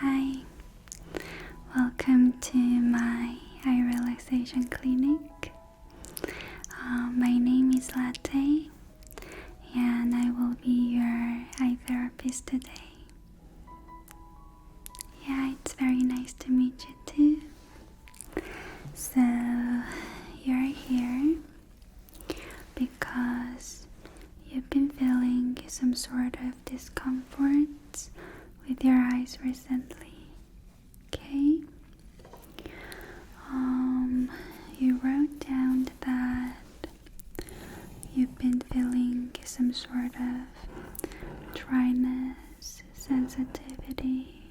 Hi, welcome to my eye relaxation clinic. Uh, my name is Latte, and I will be your eye therapist today. Yeah, it's very nice to meet you too. So, you're here because you've been feeling some sort of discomfort with your eyes recently. Okay. Um, you wrote down that you've been feeling some sort of dryness, sensitivity,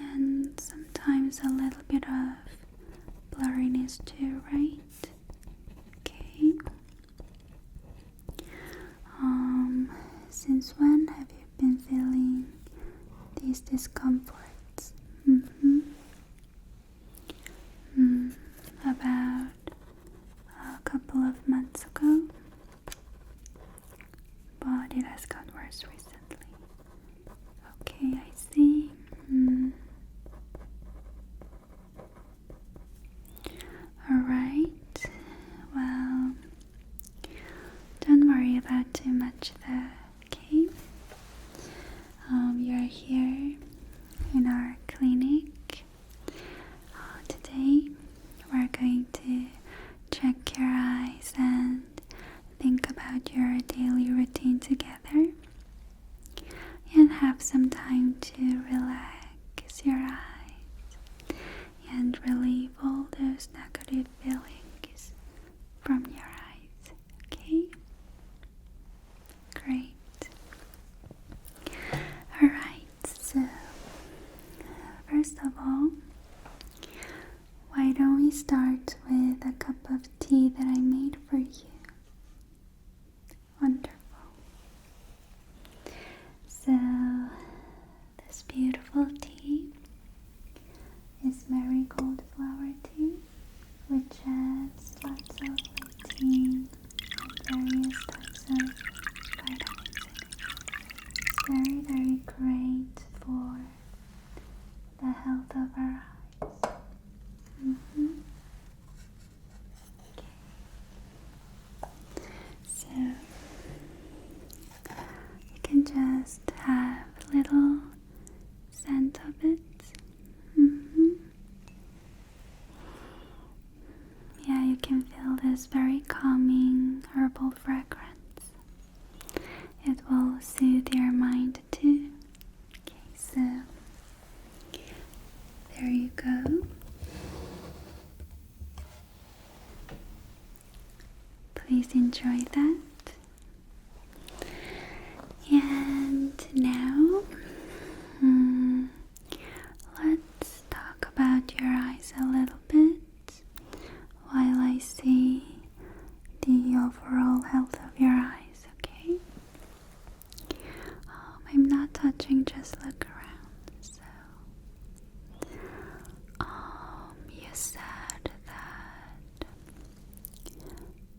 and sometimes a little bit of blurriness too, right? Okay. Um, since when have you you've been feeling these discomforts. Mm-hmm. Mm-hmm. about a couple of months ago, but it has gotten worse recently. Okay, I see. Mm-hmm. Alright, well, don't worry about too much though, okay? Um, you're here in our clinic. Uh, today we're going to check your eyes and think about your daily routine together and have some time to relax your eyes and relieve all those negative feelings from your eyes. Okay? Great. Alright, so first of all, why don't we start with a cup of tea that I made for you? Wonderful. So, this beautiful tea is marigold flower tea, which has lots of vitamins and various types of vitamins It's very, very great for the health of our eyes. Mm-hmm. Okay. So you can just have a little scent of it. Mm-hmm. Yeah, you can feel this very calming herbal fragrance. It will soothe your mind too. Okay, so there you go. Please enjoy that. And now hmm, let's talk about your eyes a little bit while I see the overall health of your eyes, okay? Um, I'm not touching, just look around. So, um, you said that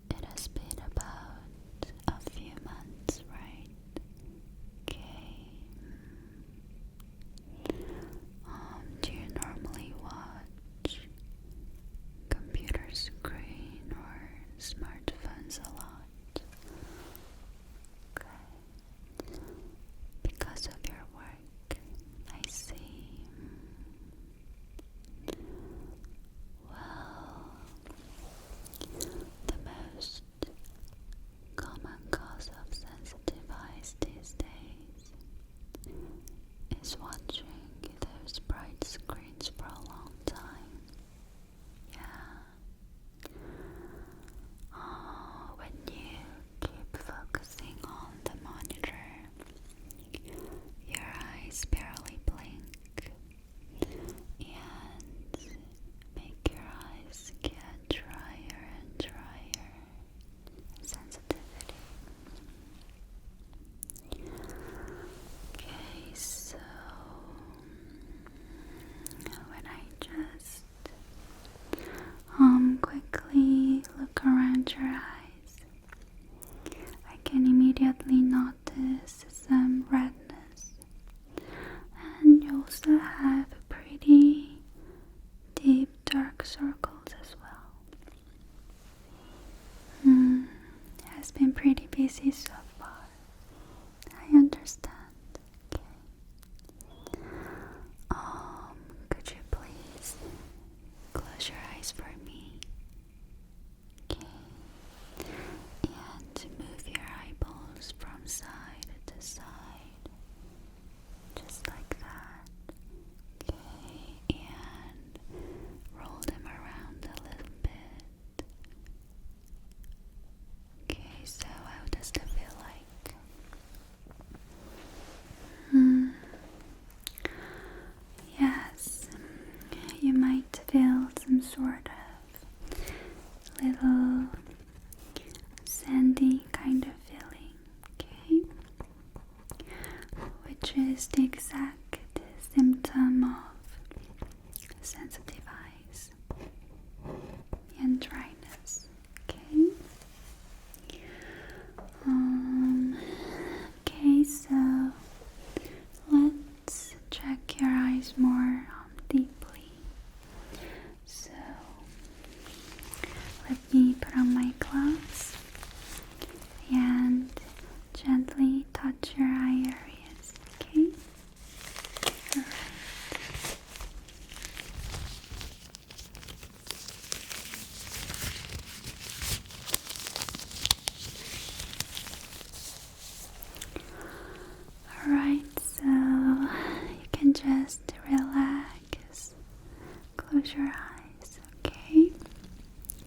it has been about a few months, right? Okay. Um, do you normally watch computer screen or smartphones a lot? Okay. Because of your work, I see. Well, the most common cause of sensitive eyes these days is watching those bright screens for a long time. Yeah. Oh, when you keep focusing on the monitor your eyes barely blink and make your eyes get drier and drier. Sensitivity. Okay, so when I just um quickly look around your eyes. I can immediately notice some redness, and you also have pretty deep dark circles as well. Mm, has been pretty busy so far. I understand. Um, could you please Close your eyes for me. Okay. And move your eyeballs from side to side. Just like that. Okay. And roll them around a little bit. Okay, so how does that feel like? Hmm. Yes, you might feel some sort of little sandy kind of feeling, okay? Which is the exact symptom of sensitive eyes and dryness, okay? Um, okay, so let's check your eyes more um, deeply. So let me put on my gloves and gently touch your eye areas, okay? Alright, so you can just relax, close your eyes, okay?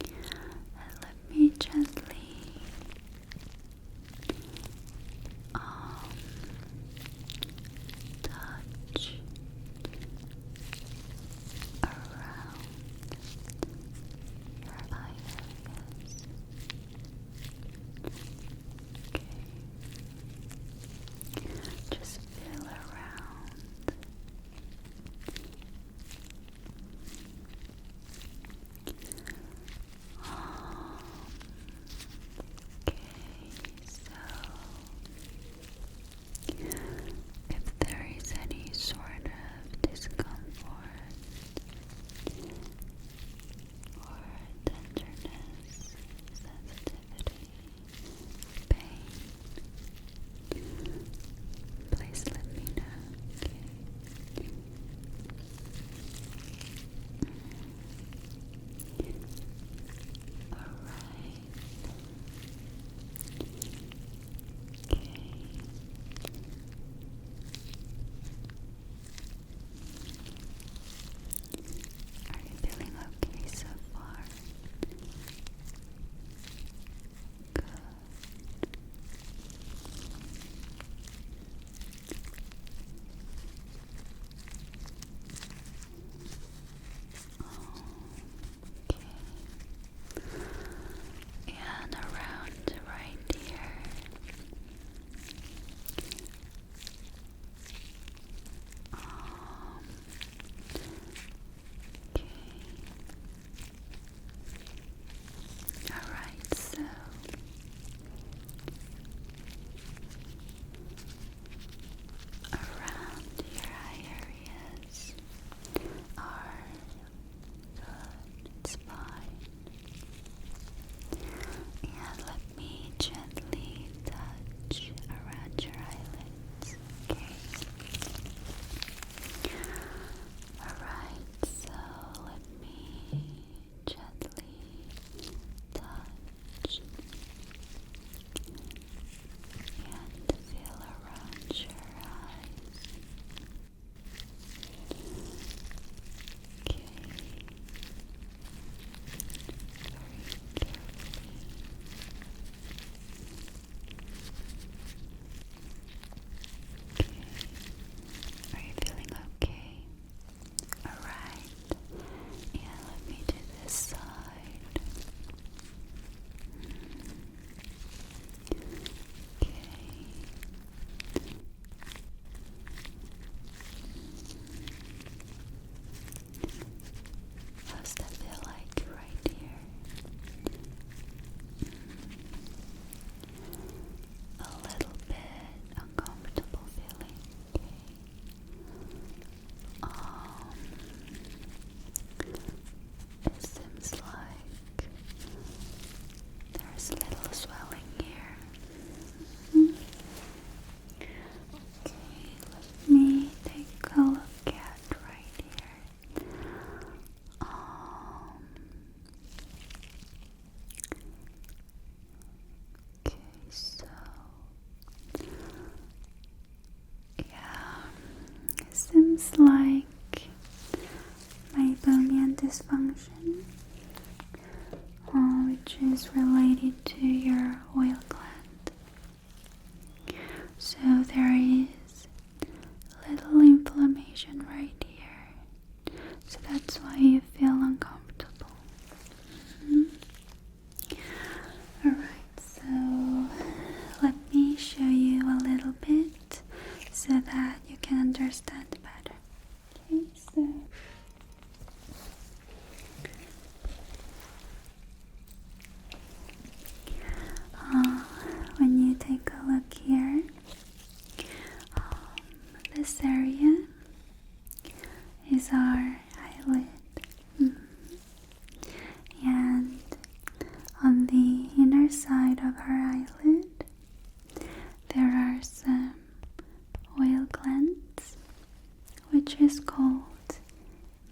And let me gently um, touch around your eye Okay. Just feel around. okay, so if there is any sort of discomfort or tenderness, sensitivity, pain, please let me know. All right. Are you feeling okay so far? Good. Okay. And around right here. Um, okay. All right, so. Around your eye areas are Good, fine. And let me gently touch around your eyelids, okay? Alright, so let me gently touch and feel around your eyes. Are you feeling okay? Alright. And let me do this side. Hmm. How's that feel like right here? A little bit uncomfortable feeling. Um, it seems like there's a little swelling here. Okay, let me take a look at right here. Um, okay, so yeah, seems like my meibomian dysfunction, uh, which is related to your oil gland. So there is a little inflammation right here, so that's why you feel uncomfortable. Mm-hmm. Alright, so let me show you a little bit so that you can understand better. Okay, so uh, when you take a look here, um, this area is our eyelid. Mm-hmm. And on the inner side of our eyelid, there are some oil glands, which is called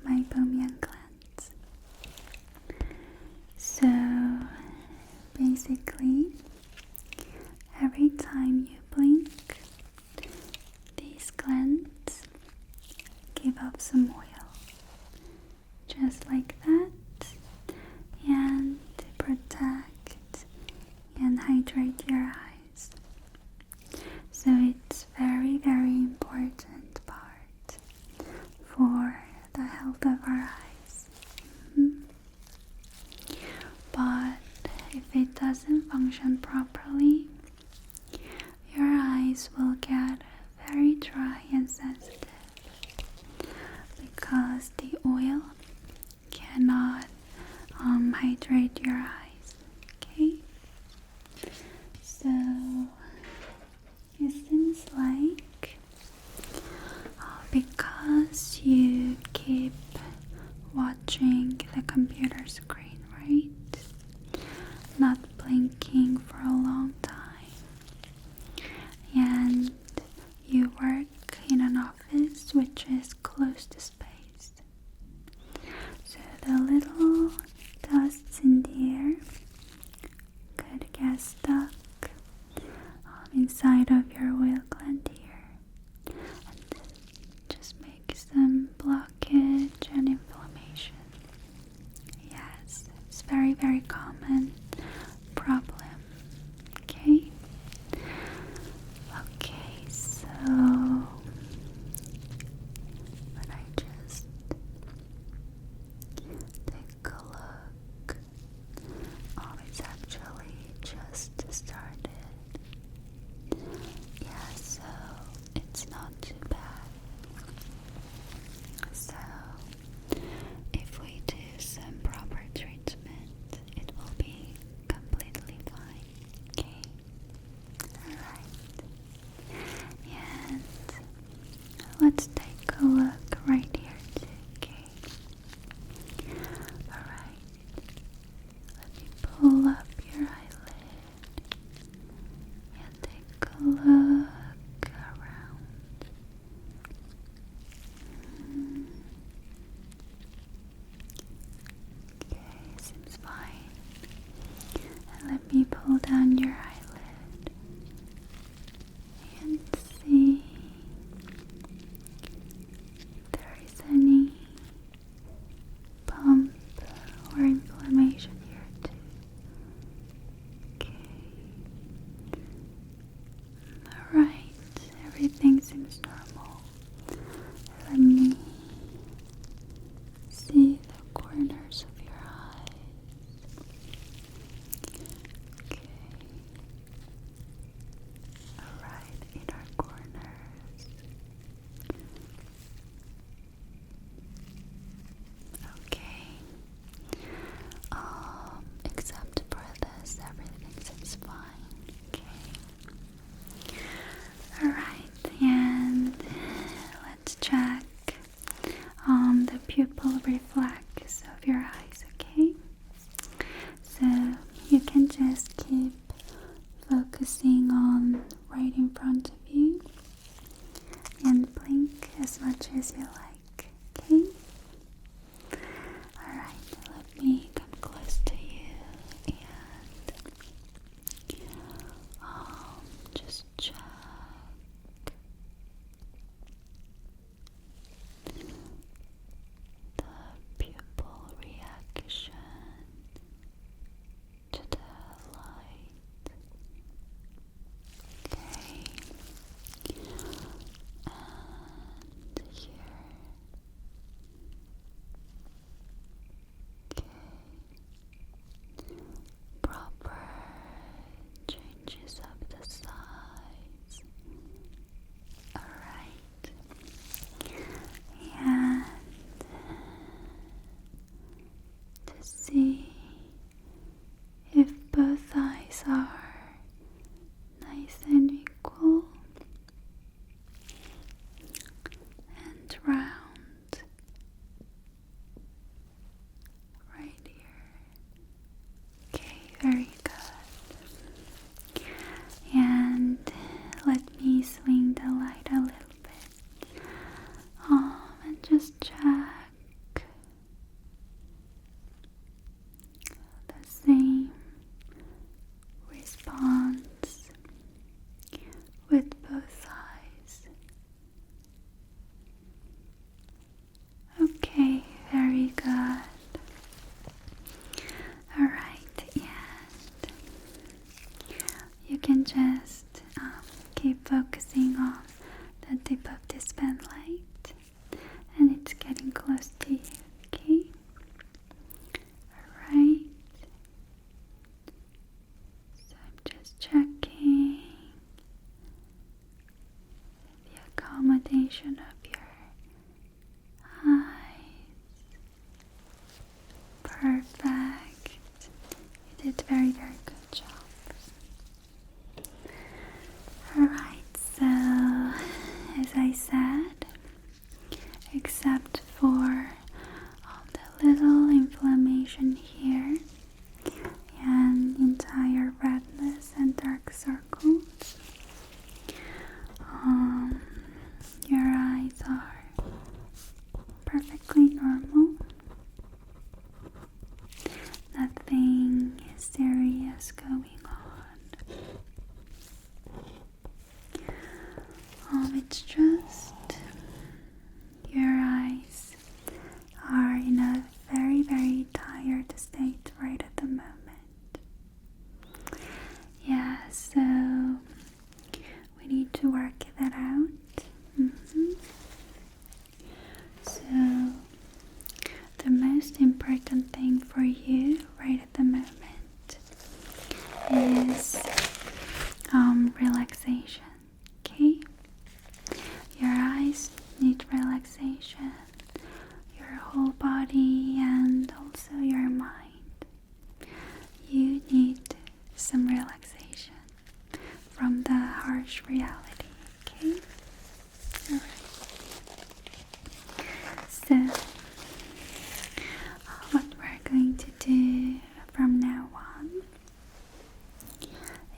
meibomian glands. So basically, every time you blink, these glands give up some oil just like that, and protect and hydrate your eyes. So it's very, very important part for the health of our eyes. Mm-hmm. But if it doesn't function properly, your eyes will get very dry and sensitive because the oil cannot um, hydrate your eyes. Okay, so it seems like uh, because you keep watching the computer screen, right? Not blinking for a long time, and you work in an office which is close to space. So the little dusts in the air could get stuck inside of your wheel gland here and just makes some blockage and inflammation. Yes, it's very, very common problem Okay. Okay, so but I just take a look. Oh, it's actually just started. Yeah, so it's not too bad. So if we do some proper treatment, it will be completely fine. Okay? Alright. And let's take a look right here okay? Alright. Let me pull up your eyelid and take a look around. Okay, seems fine. let me pull down your eyelid and see if there is any bump or inflammation here too. Okay. Alright, everything seems normal. Let me see the corners of your eyes. Okay. Alright, in corners. Okay. Um, except for this, everything seems fine. Okay. Alright, and let's check um, the pupil reflex of your eyes, okay? So you can just keep focusing on right in front of you and blink as much as you like. Okay? Alright, let me come close to you and um, just check. The pupil reaction to the light. Okay here. Proper changes of the sides. Alright. And to see if both eyes are nice and equal and round right here. Okay, very good. And let me swing the light a little bit. Um, and just check the same response with both eyes. Okay, very good. Alright, and you can just um, keep focusing on the tip of this pen light and it's getting close to you, okay? Alright. So I'm just checking the accommodation of your eyes. Perfect. You did very, very good job. Alright, so as I said, except for all the little inflammation here and entire redness and dark circles, um, your eyes are perfectly normal. Nothing serious going going on. Um, it's just your eyes are in a very, very tired state right at the moment. Yeah, so we need to work that out. Mm-hmm. So the most important thing for you right at the moment is um, relaxation. Okay? Your eyes need relaxation, your whole body, and also your mind. You need some relaxation from the harsh reality. Okay? So, what we're going to do from now on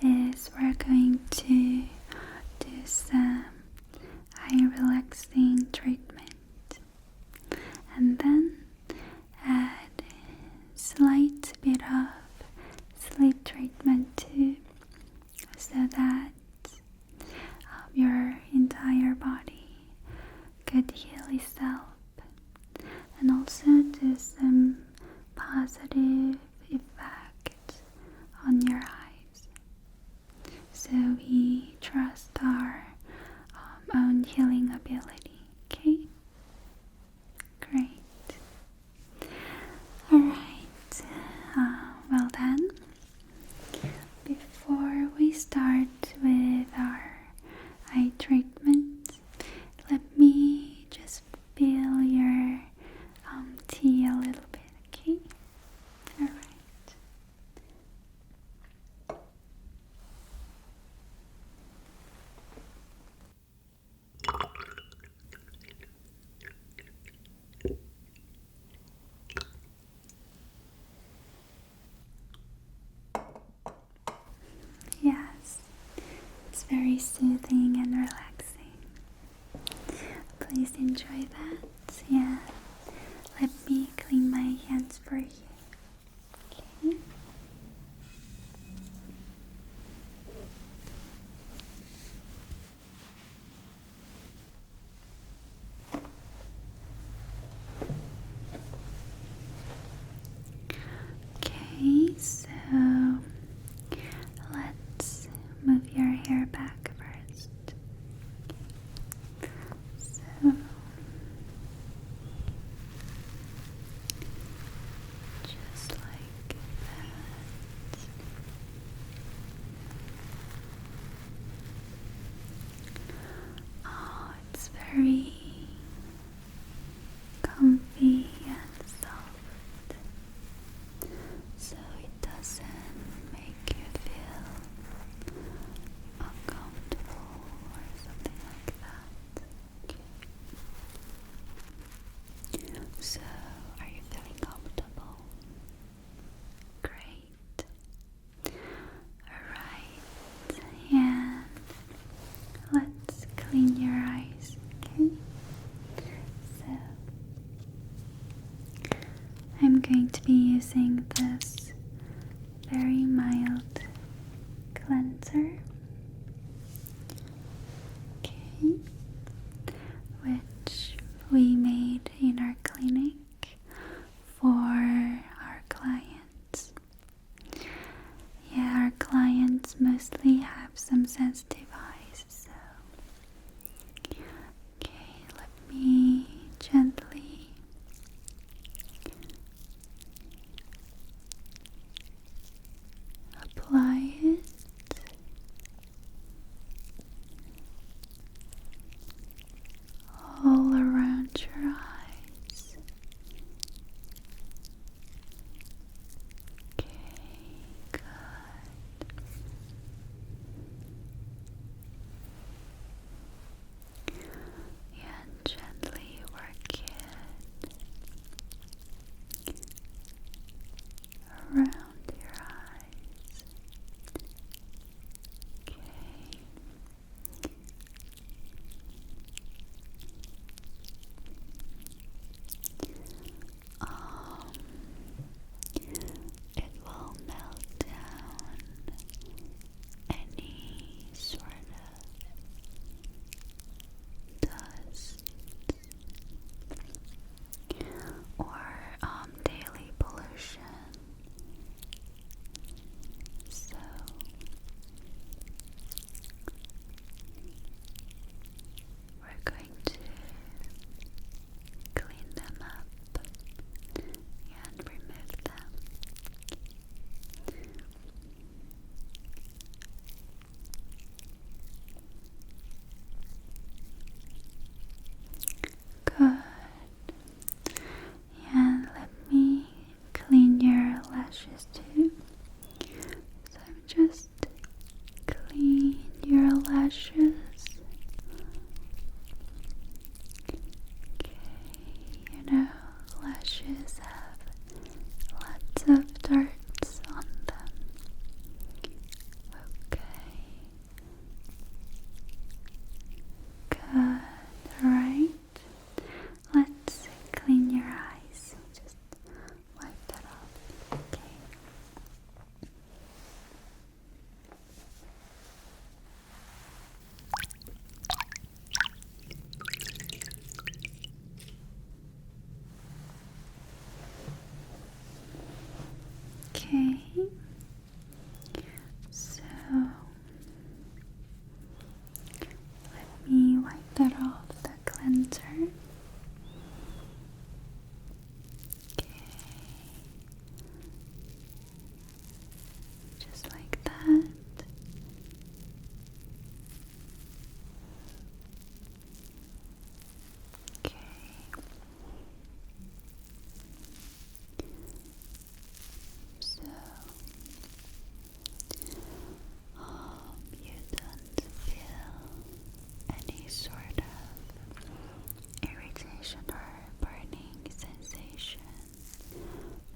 is we're going to do some eye relaxing treatment and then add slight bit of sleep treatment too so that of your entire body could heal itself and also do some positive effects on your eyes. So we trust our um, own healing ability, okay? Great. Alright, uh, well then, before we start with our eye treatment, let me just fill your um, tea a little bit, okay? Alright. Yes, it's very soothing and relaxing. Please enjoy that. Yeah, let me clean my hands for you. Okay. Okay, so let's move your hair back first. So just like that. Oh, it's very comfy and soft, so it doesn't make you feel uncomfortable or something like that. So, are you feeling comfortable? Great. Alright, and let's clean your eyes, okay? So, I'm going to be using this very mild cleanser, okay? Which we made in our clinic for our clients. Yeah, our clients mostly have some sensitive eyes, so. Okay, let me gently. Apply it all around your eyes. Okay, good. And gently work it around your eyes. Okay. Um, it will melt down any sort of dust or um, daily pollution. So we're going to clean them up and remove them. Good and let me clean your lashes too. So I'm just clean your lashes. Okay, you know lashes have lots of darts on them. Okay, Good, alright. Let's clean your eyes. Just wipe that off. Okay. Okay. So let me wipe that off the cleanser. Okay. Just like that. Okay. So hope um, you don't feel any sort of irritation or burning sensation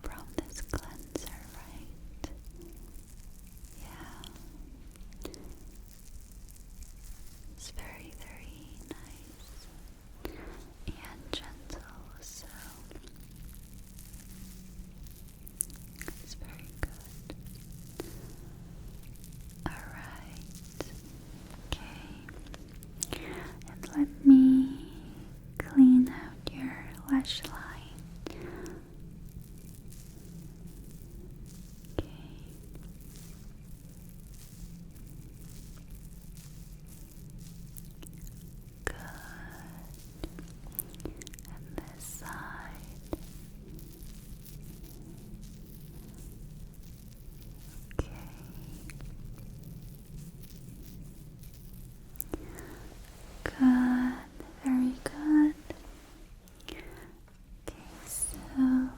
from this cleanser, right? Yeah. It's very, very nice and gentle, so it's very good. Alright, okay, and let me clean out your lash line. Okay. Good. And this side. Okay. Good. Very good. Okay, so oh,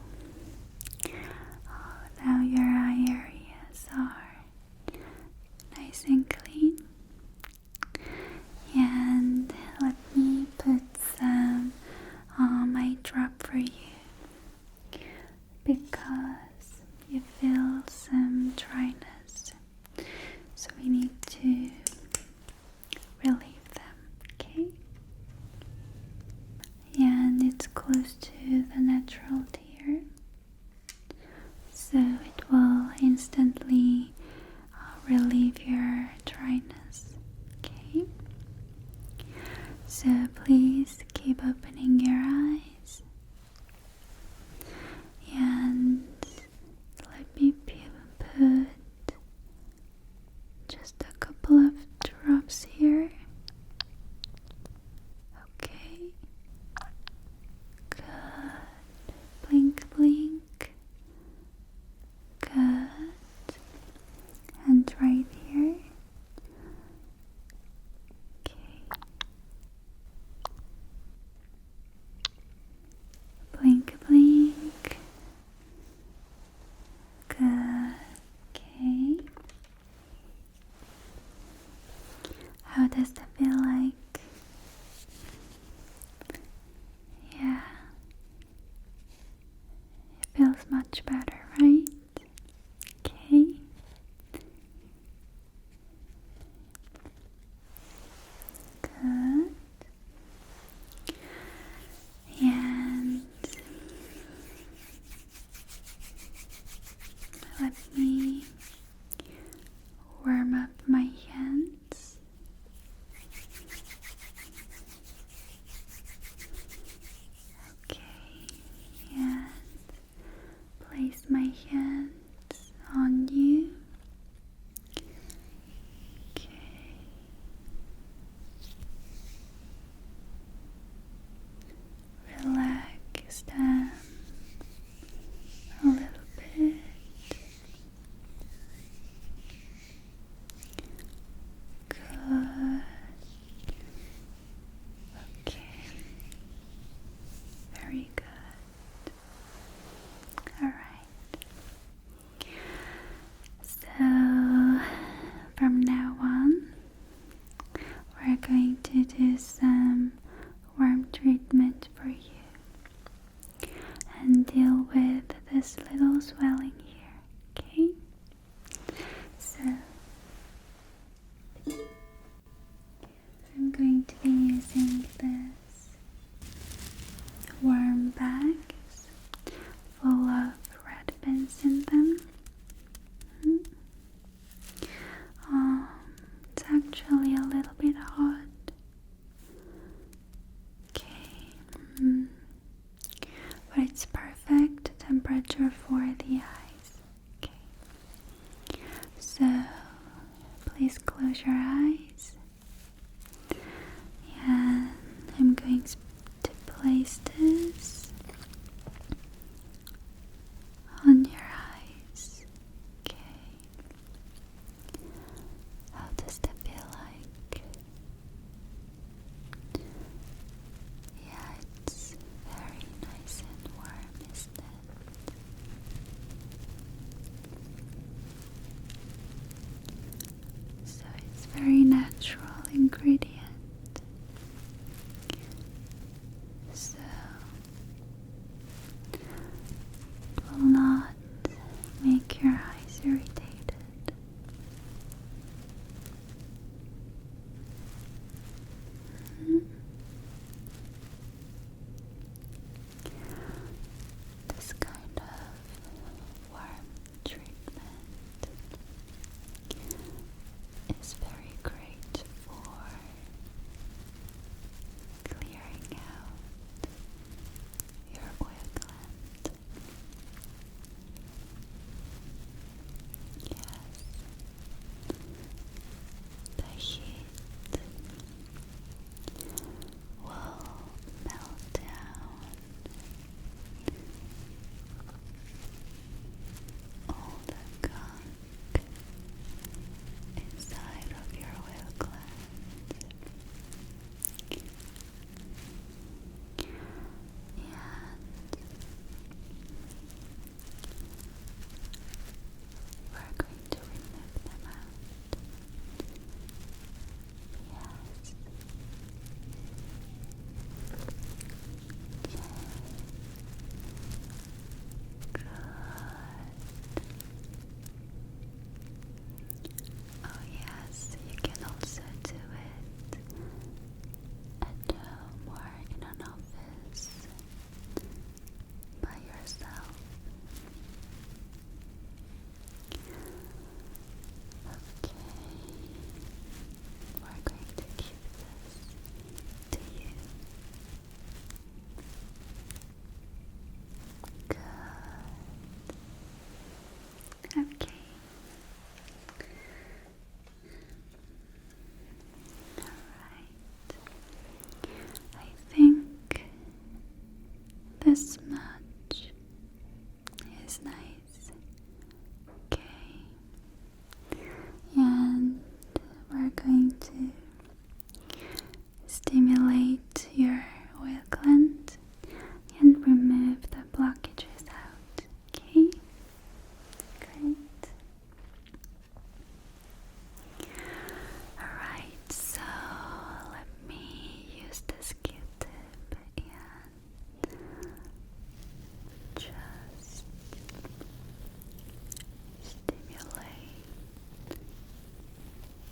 now your eye areas are nice and clean. And let me put some on my drop for you because you feel some dryness. So we need to relieve them, okay? And it's close to the natural tear so it will instantly uh, relieve your dryness. Okay, so please keep opening your eyes and let me put just a couple of drops here Okay. Good. Blink, blink. Good. And right here. Okay. Blink, blink. Good. Okay. How does that feel like? Yeah. It feels much better, right? Okay. Good. And let me warm up my hands. Okay, and place my hands on you. Okay relax down a little bit. Good. Okay. Very good. Alright. So, from now on, we're going to do some warm treatment for you and deal with this little swelling here, okay? So, I'm going to be using this warm bag full of red pins in them. Mm-hmm. Um, it's actually a little bit hot. Okay, mm, but it's perfect temperature for the eyes. Okay, so please close your eyes. And I'm going to place this on your eyes. Okay. How does that feel like? Yeah, it's very nice and warm, isn't it? So it's very natural ingredient. So will not make your eyes irritated. Mm-hmm. This kind of warm treatment is very great for clearing out your oil gland. Yes, the heat will melt down all the gunk inside of your oil glands. we're going to remove Yes. Good. Oh, yes, you can also do it at home or in an office by yourself. Okay, we're going to keep this to you. Okay. All right. I think this much is nice. Okay. And we're going to stimulate your oil gland and remove the blockages out. Okay? Great. Alright, so let me use this q tip and just stimulate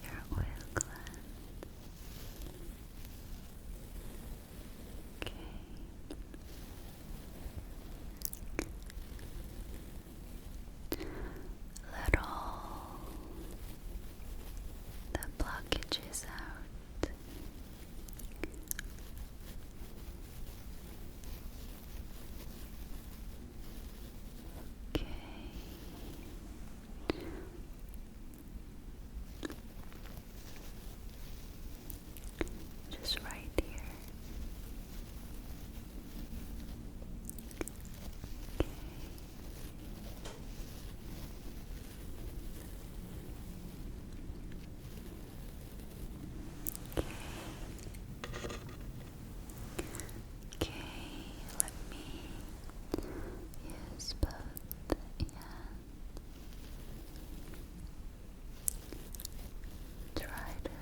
your oil glands. Okay. Let all the blockages out. Okay. Just right here. Okay. Okay, let me use both and try to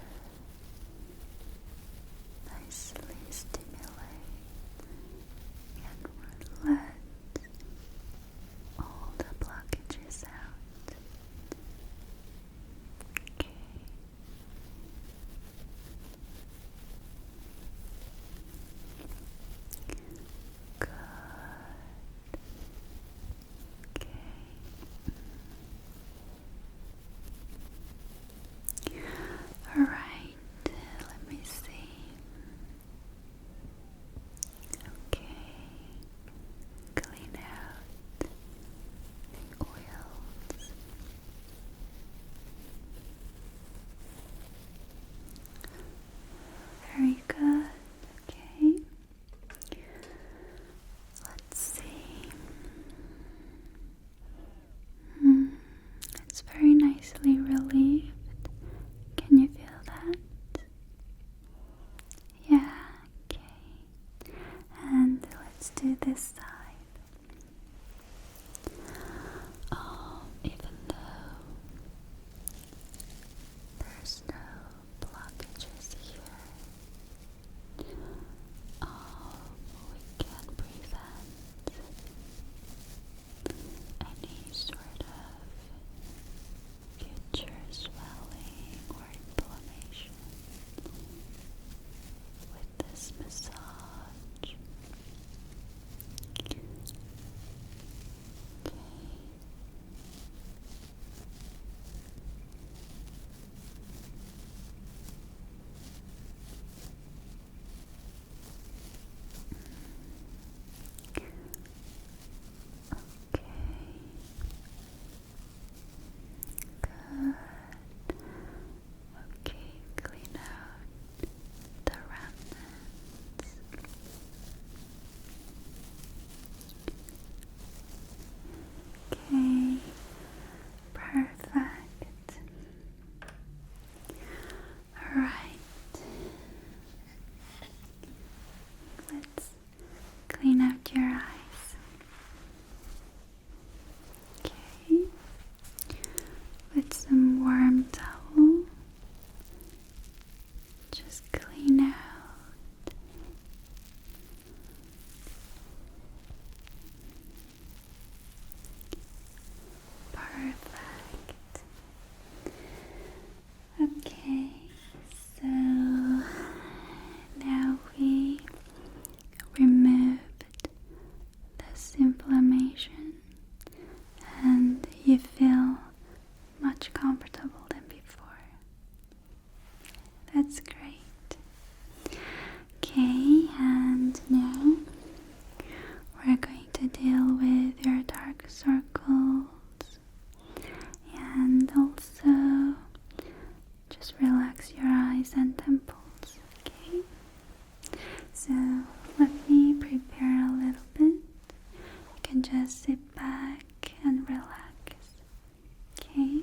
nicely stimulate and relax all the blockages out. Okay. Good. Okay. All right. Let me see. Okay. Clean out the oils very good. Okay. Let's see. Hmm. it's very nicely relieved. Can you feel that? Yeah, okay. And let's do this side. Um, even though there's no blockages here, um, we can prevent any sort of future swelling or inflammation with this massage much. Okay. Okay. Good. Okay, clean out the remnants. Okay, perfect. All right, let's clean out your eyes. Okay. With some warm towel, just clean out. Perfect. Okay, so now we removed this inflammation and you feel much comfortable than before. That's great. Okay, and now we're going to deal with your dark circles and also just relax your eyes and temples, okay? So let me prepare a little bit. You can just sit back and relax. Okay.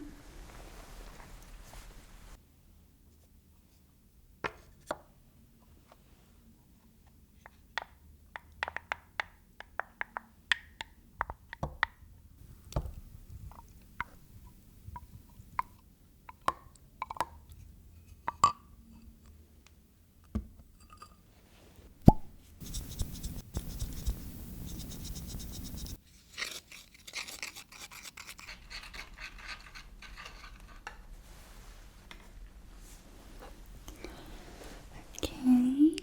Okay,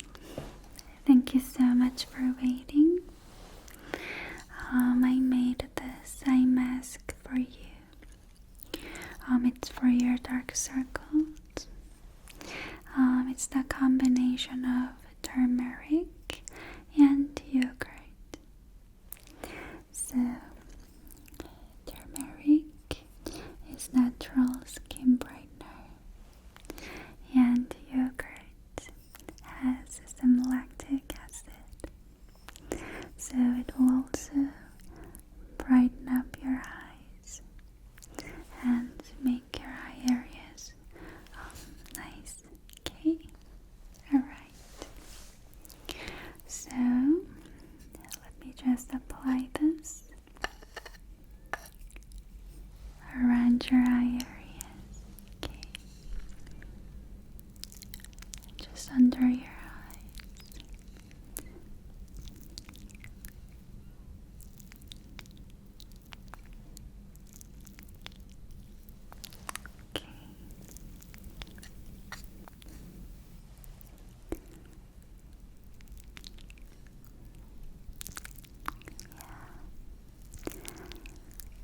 thank you so much for waiting. Um, I made this eye mask for you um, it's for your dark circles. Um, it's the combination of turmeric and yogurt. So, turmeric is natural skin brightener, and yogurt has some lactic acid so it will also brighten up your eyes and make your eye areas nice. Okay, alright. So let me just apply this around your eye areas. Okay just under your eyes. Yeah.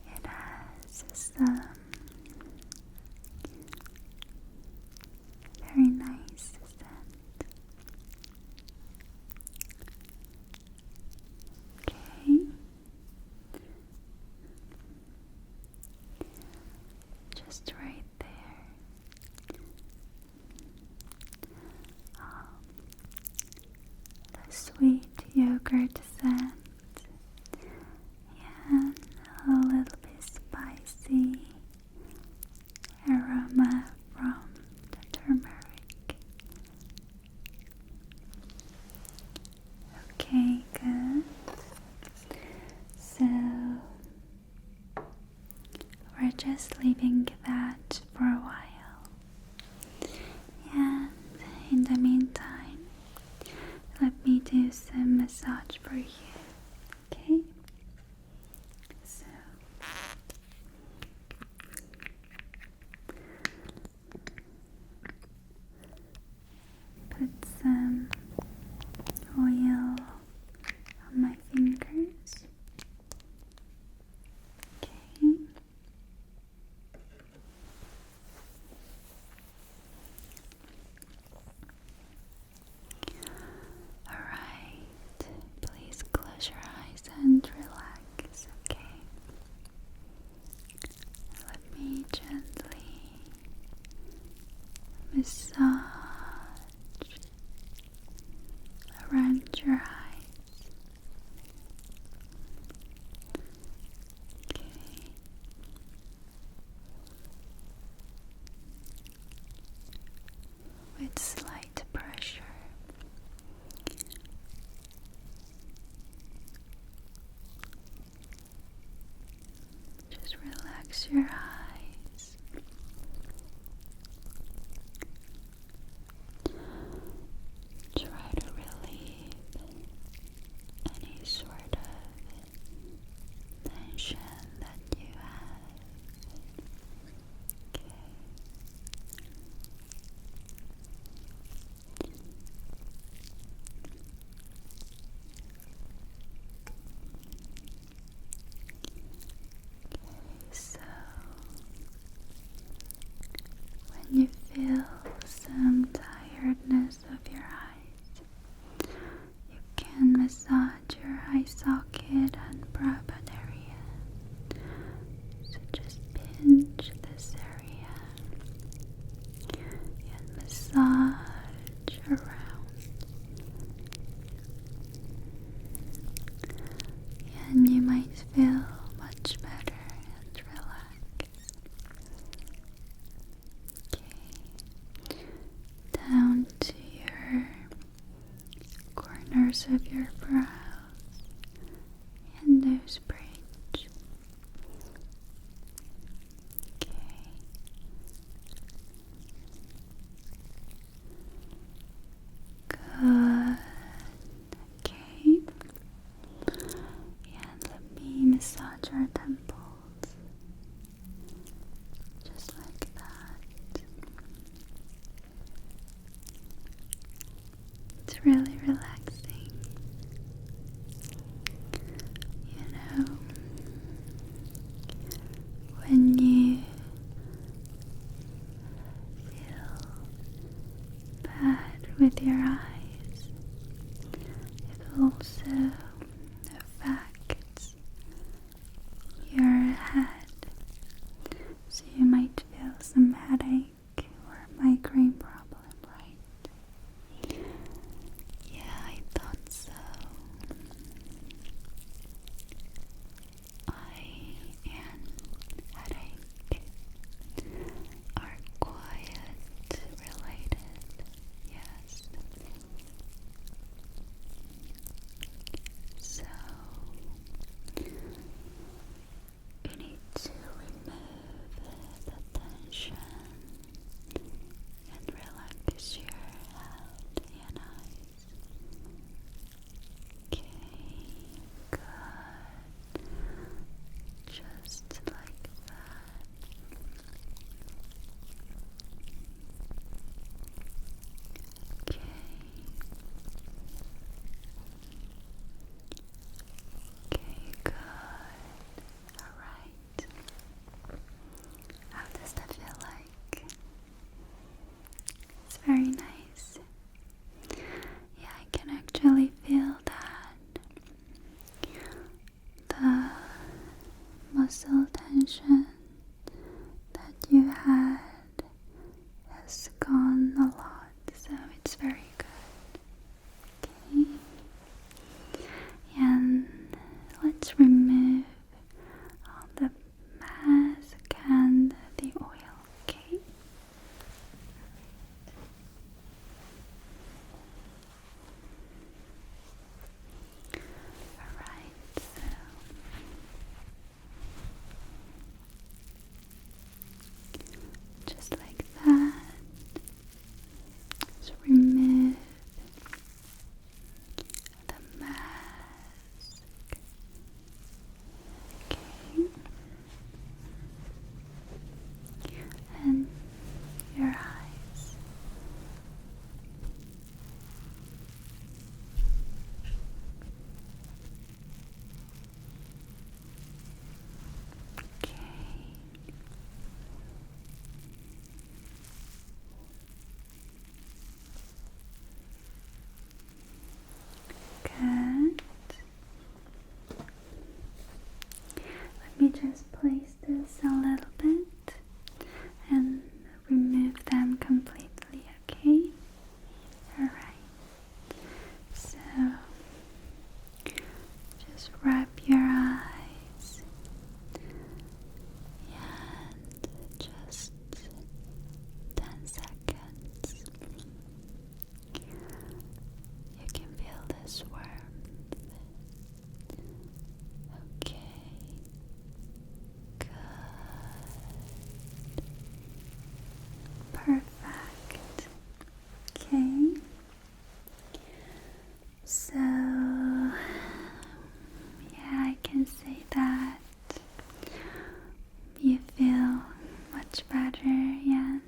It has some very nice scent. Okay. Just right there. Um, the sweet yogurt scent and a little bit spicy aroma from the turmeric. Okay, good. So we're just leaving that for a while. And in the meantime, let me do some massage for you. Okay. So put some oil on my fingers. Okay. Alright, please close your eyes and relax, okay? Let me gently massage around your eyes. Okay with slight pressure. Just relax your eyes. Try to relieve any sort of tension that you have. Okay. Okay, so when you feel some tiredness of your eyes, you can massage your eye socket and broad area. So just pinch this area and massage around. And you might feel much better and relaxed. Okay. Down to your corners of your brows and nose bridge. Okay. Good. Okay. And let me massage your temples. Just like that. It's really relaxing. You know, when you feel bad with your eyes, it also affects your head. So you might feel some headache or migraine problem, right? Yeah, I thought so. I and headache are quiet related, yes. So you need to remove the tension and relax your head and eyes. Okay, good. Just like that. Okay. Okay, good. Alright. How does that feel like? It's very nice. Yeah, I can actually feel that the muscle tension that you had has gone a lot, so it's very good. Okay, and let's remove all the mask and the oil. Okay. Alright, so just like that. So remove the mask. Okay. And your eyes. Okay. Good. Let me just place this a little bit and remove them completely, okay? Alright, so just rub your eyes and just 10 seconds. You can feel this warmth. Okay. Good. Perfect. Okay. So, yeah, I can say that you feel much better and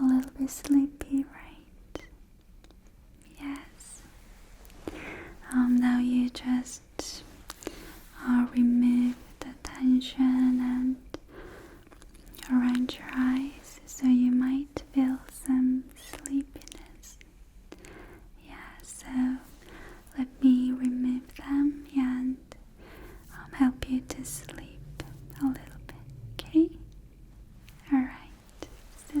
a little bit sleepy, right? Yes. Um, now you just uh, remove the tension and arrange your eyes so you might feel some sleepiness. Yeah, so let me remove them and um, help you to sleep a little bit, okay? Alright, so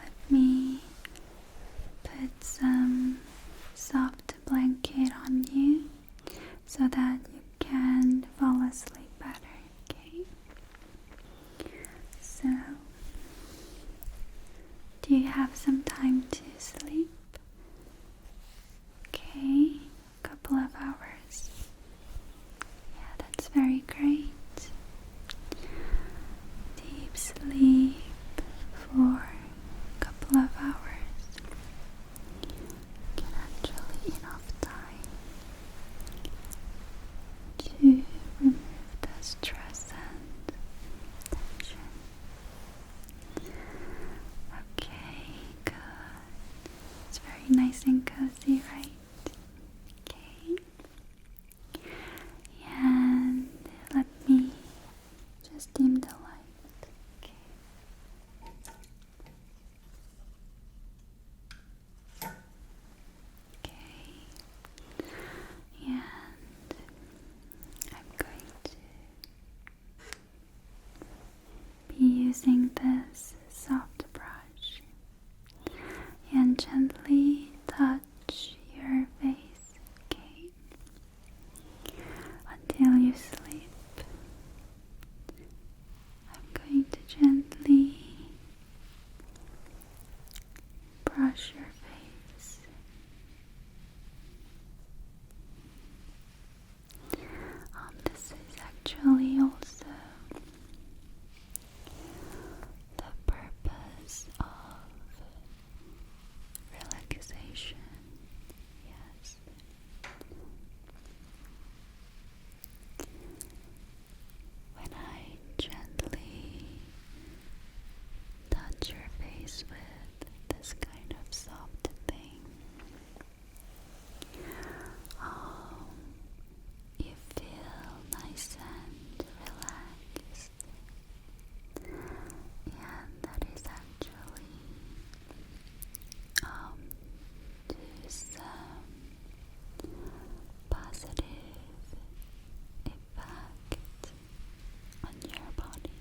Let me put some soft blanket on you so that you can fall asleep better, okay? So, do you have some time to sleep? Okay, a couple of hours. Yeah, that's very great. Deep sleep for a couple of hours can actually enough time to remove the stress and tension. Okay, good. It's very nice and cozy, right? Okay. And let me just dim the light. Okay. Okay. And I'm going to be using this soft brush and gently touch your face, Until you sleep. I'm going to gently brush your face. Um, this is actually also the purpose of relaxation. Yes. When I gently touch your face with this kind of soft thing, Oh, you feel nice and relaxed. And that is actually um to some um, positive effect on your body.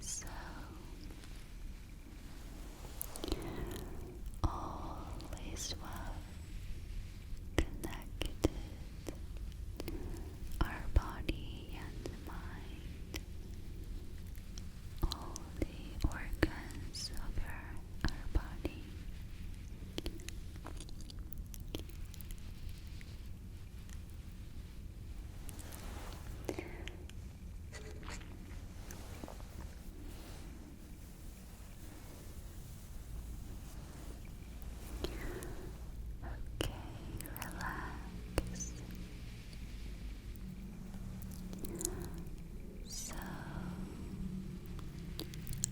So all is well connected, our body and mind, all the organs of our, body. Okay, relax. So,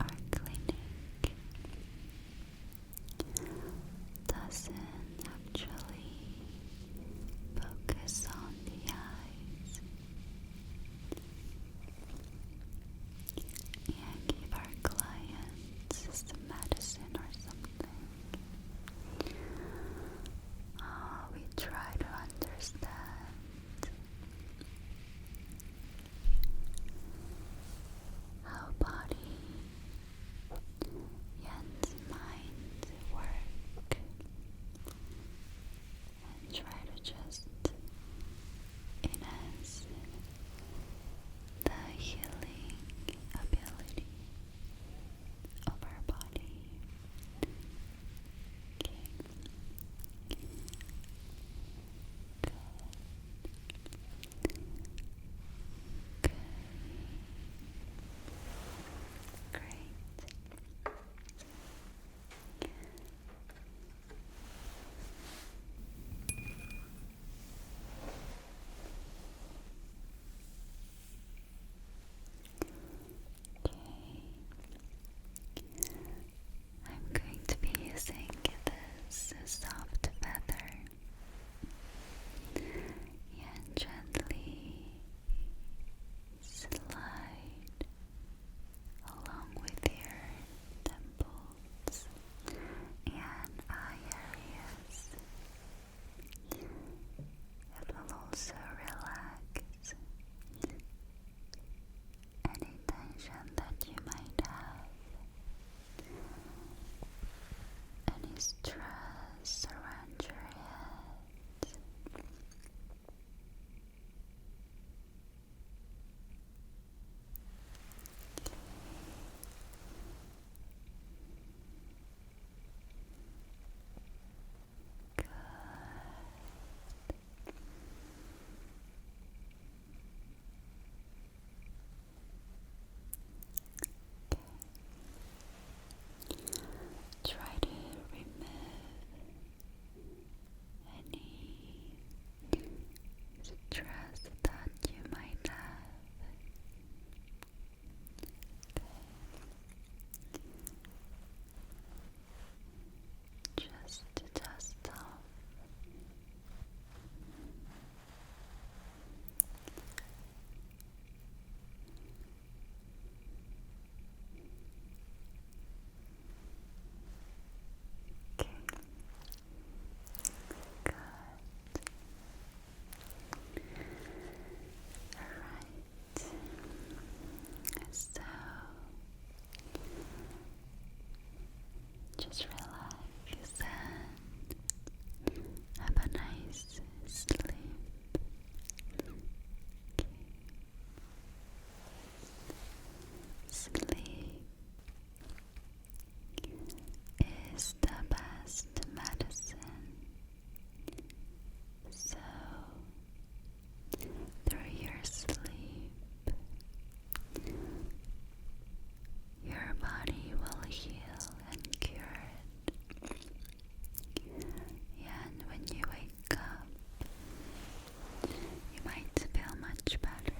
our clinic doesn't actually focus on the eyes and give our clients some medicine or something. Ah, we try to understand how body Yen's mind work and try to just enhance the healing ability of our body. Okay. Great. Okay. I'm going to be using this soft feather and gently slide along with your temples and eye areas. It will also relax any tension that you might have, any stress surround your head. Good. Try to remove any stress that you might have. Just to dust off. Okay. Good. Alright. So just relax and have a nice sleep. Sleep is the best medicine. So, through your sleep, your body will heal and cure it and when you wake up, you might feel much better.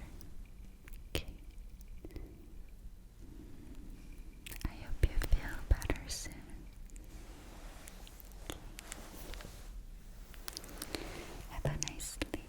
I hope you feel better soon. Have a nice sleep.